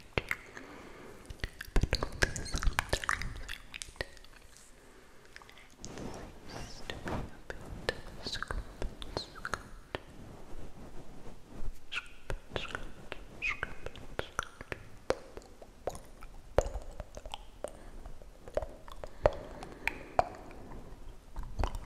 But only sometimes I wonder. It seems to be a bit scoop, scoop, scoop, scoop, scoop, scoop. It's okay, it's okay,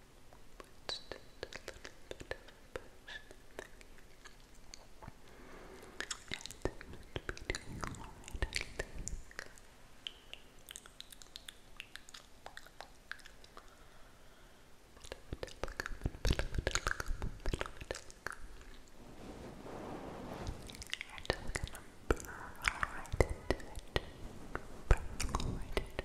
Just a little bit of push. And it would be doing alright, I think. You're just gonna burrow right into it. Burrow right into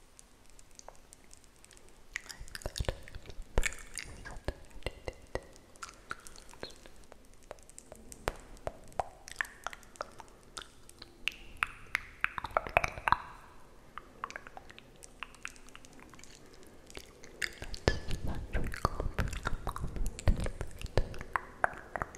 Let's not recall for a moment.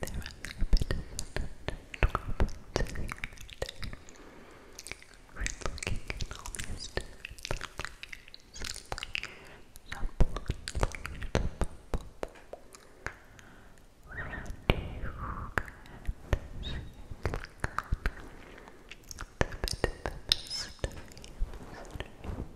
There was a bit of trouble We're looking at all these different things. It's a bit of a mystery, mystery, mystery.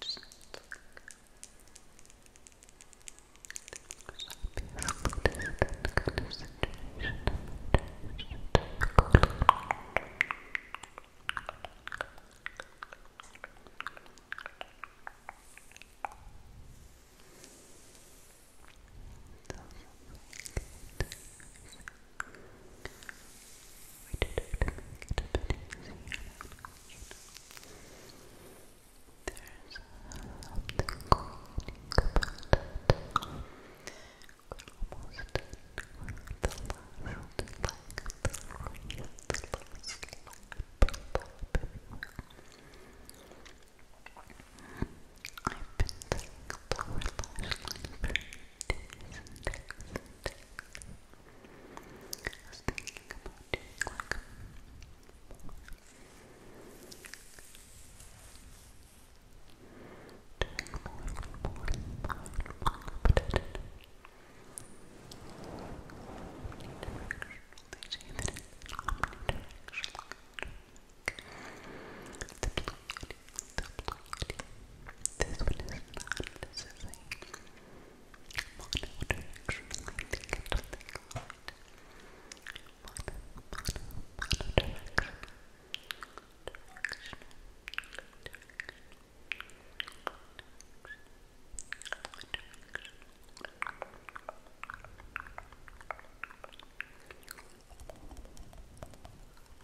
just look. There must be a that kind of situation Something we did a bit easier. There's something quieting almost done. We're at the last leg, the three of the last I've been saying lower lash line for days and days and I was thinking about doing like doing more and more and more and more, but I didn't they say that it's omnidirectional. The blue yeti, the blue this one is not. This is a mono direction. I think it's what they call it. Mono, mono, mono direction. Directional, directional, directional, directional.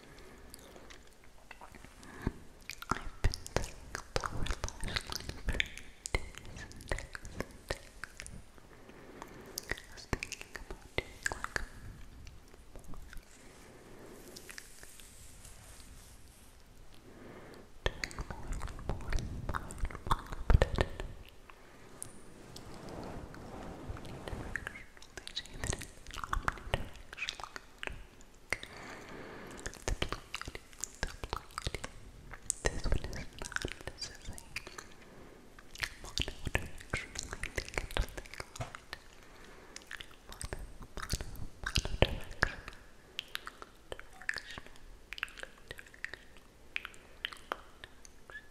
I've been saying lower lash line for days and days and days. I was thinking about doing like doing more and more and more and more, but I didn't. Need to make sure this one is not. This is a mono-directional. I think it's something called mono, mono, mono-directional. Directional, directional, directional.